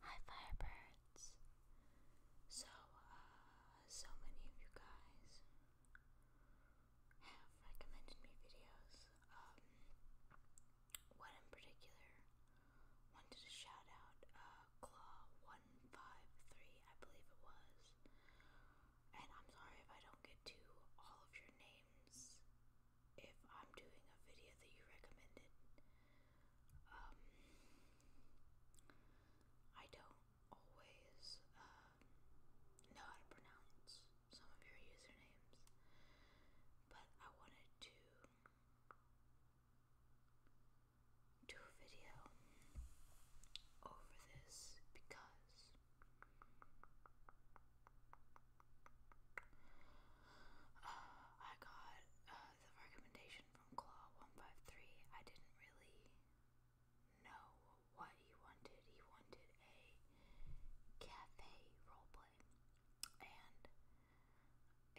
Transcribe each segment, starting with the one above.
Hi Firebirds. So, uh, so many of you guys have recommended me videos. Um, in particular wanted to shout out uh, Claw153, I believe it was. And I'm sorry if I don't get to all of your names if I'm doing a video that you recommended. Um, I don't always um, know how to pronounce some of your usernames, but I wanted to do a video over this because I got uh, the recommendation from Claw153. I didn't really know what he wanted. He wanted a cafe roleplay. And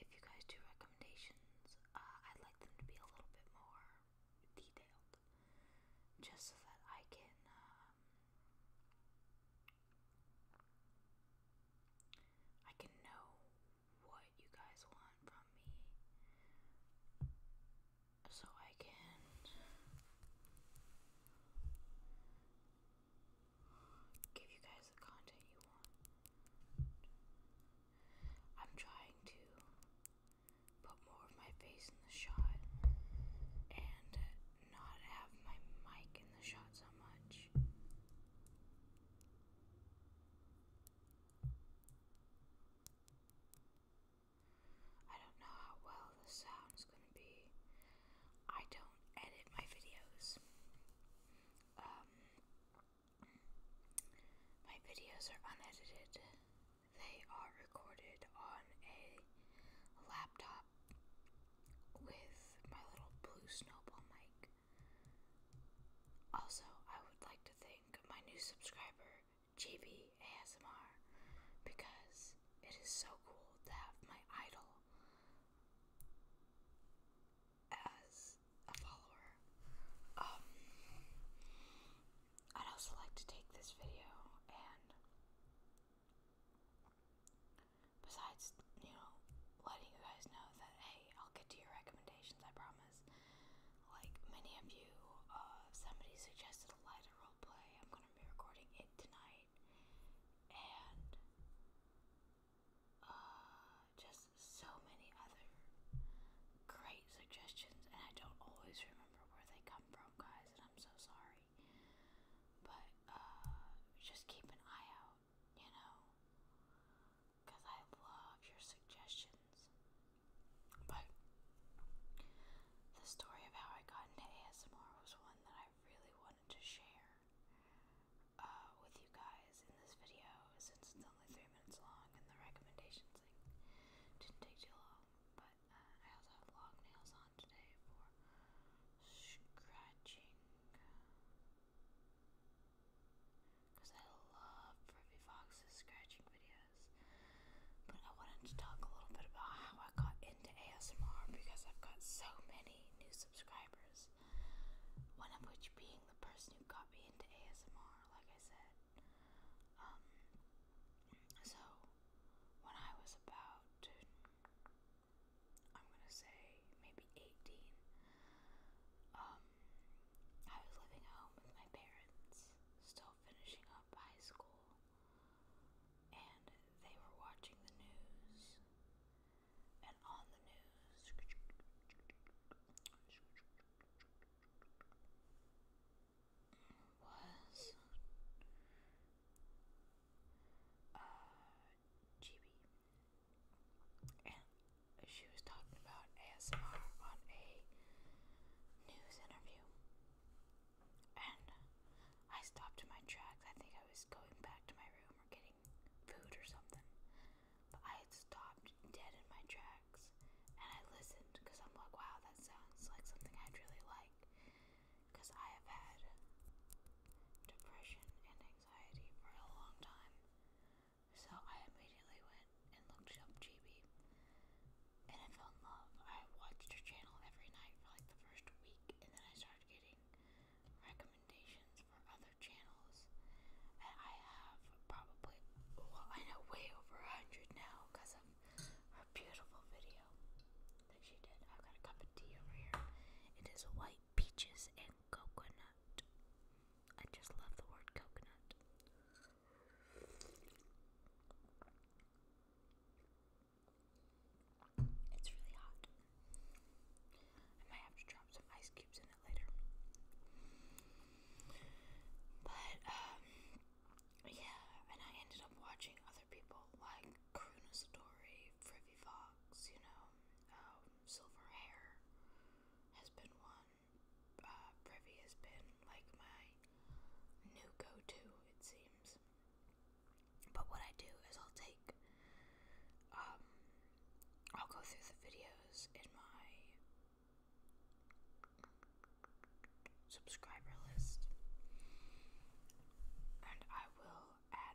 if you guys do recommendations, uh, I'd like them to be a little bit more detailed. Just so that I can um, I can know what you guys want from me so I can give you guys the content you want. I'm trying to put more of my face in the shot and not have my mic in the shot so much. I don't know how well the sound's gonna be. I don't edit my videos. Um, my videos are unedited. They are recorded on a laptop with my little blue snowball mic. Also, I would like to thank my new subscriber, JB ASMR, because it is so cool to have my idol as a follower. Um, I'd also like to take this video and besides, you know, letting you guys know that, hey, I'll get to your recommendations, I promise. Like many of you, uh, somebody suggested a lighter roleplay. I'm gonna be recording it tonight. And, uh, just so many other great suggestions, and I don't always remember where they come from, guys, and I'm so sorry. But, uh, just keep an eye out you know, because I love your suggestions. But the story of how I got into ASMR was one that I really wanted to share uh, with you guys in this video since it's only three minutes long and the recommendations thing didn't take too long. But uh, I also have long nails on today for scratching. Because I love Ruby Fox's scratching videos. But I wanted to talk a little bit about how I got into ASMR because I've got so many new subscribers. One of which being the person who got me into ASMR, like I said. Um, so, when I was about I'm gonna say maybe 18, um, I was living at home with my parents, still finishing up high school, and they were watching the news. And on the news, was uh, Chibi, and she was talking about ASMR on a news interview. And I stopped in my tracks. I think I was going back to my room or getting food or something. I had stopped dead in my tracks and I listened because I'm like, wow, that sounds like something I'd really like. Because I have had depression and anxiety for a long time. So I immediately went and looked up GB and I fell in love. I watched her channel every night for like the first week and then I started getting recommendations for other channels. And I have probably, well, I know way over a 100 now because of her beautiful video that she did. I've got a cup of tea over here. It is white peaches and coconut. I just love the word coconut. It's really hot. I might have to drop some ice cubes in it later. But, um, yeah, and I ended up watching other people like Karuna Satori, Frivy Fox, you know, um, silver hair has been one. Uh, privy has been like my new go to, it seems. But what I do is I'll take, um, I'll go through the videos in my subscriber list and I will add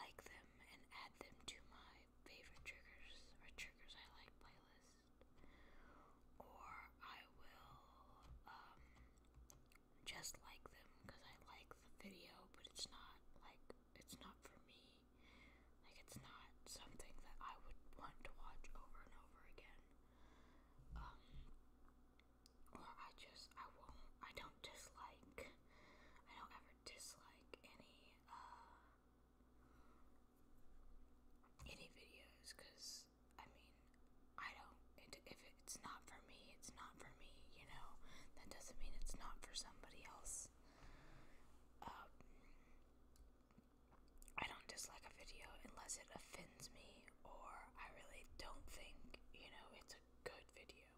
like them and add them to my favorite triggers or triggers I like playlist. Or I will um, just like them because I like the video, but it's not like it's not for me. Like it's not something that I would want to watch over and over again. Um, or I just I won't I don't dislike I don't ever dislike any uh, any videos because I mean I don't if it's not for me it's not for me you know that doesn't mean it's not for somebody else um, I don't dislike a video unless it offends me or I really don't think you know it's a good video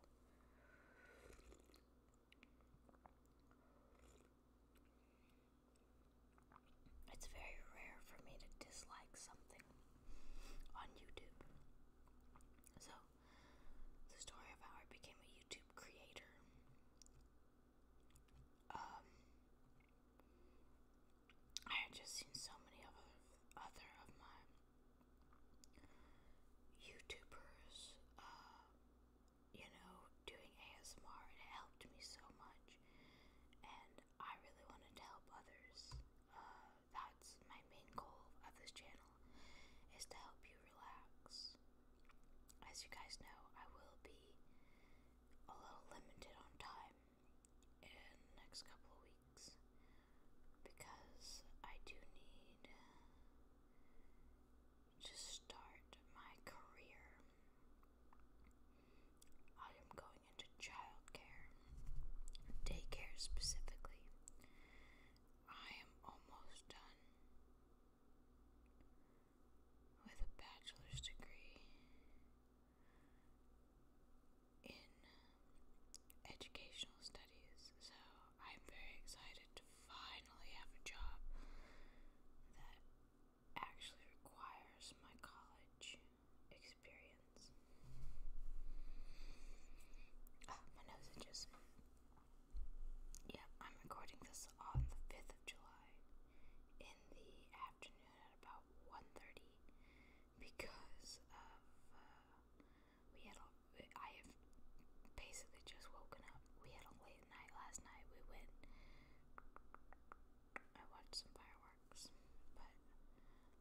it's very rare for me to dislike something on YouTube. So, the story of how I became a YouTube creator. Um, I had just seen so many of other of my YouTubers, uh, you know, doing ASMR, it helped me so much. And I really wanted to help others. Uh, that's my main goal of this channel, is to help you relax. As you guys know, I will be a little limited on time in the next couple of weeks because I do need to start my career. I am going into childcare, daycare specifically. I am almost done with a bachelor's degree in educational studies, so I'm very excited to finally have a job that actually requires my college experience. Ah, my nose itches. Yeah, I'm recording this on the 5th of July in the afternoon at about 1.30 because of uh, we had a, I have basically just woken up. We had a late night last night. We went. I watched some fireworks, but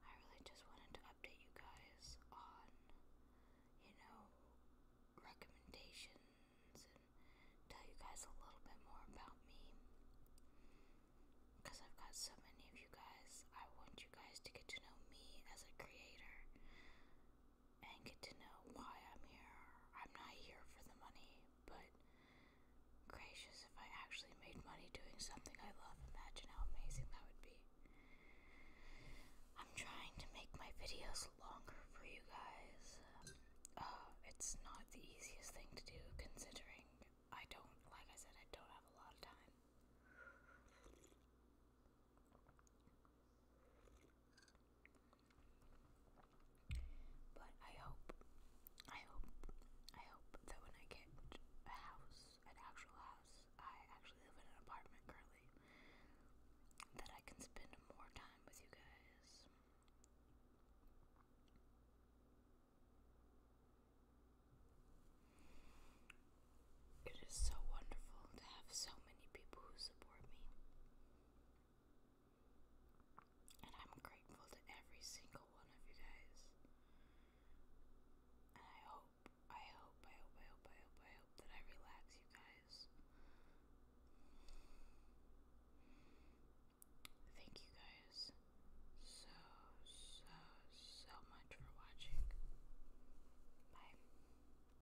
I really just wanted to update you guys on, you know, recommendations and tell you guys a little bit more about me. Because I've got so many of you guys, I want you guys to get to know me as a creator and get to know why I'm here. I'm not here for the money, but gracious, if I actually made money doing something I love, imagine how amazing that would be. I'm trying to make my videos longer for you guys. Uh, it's not the easiest thing to do considering I don't, like I said, I don't have a lot of time. But I hope, I hope, I hope that when I get a house, an actual house, I actually live in an apartment currently, that I can spend more time with you guys. It is so wonderful to have so many people and I'm grateful to every single one of you guys. And I hope, I hope, I hope, I hope, I hope, I hope that I relax you guys. Thank you guys so, so, so much for watching. Bye.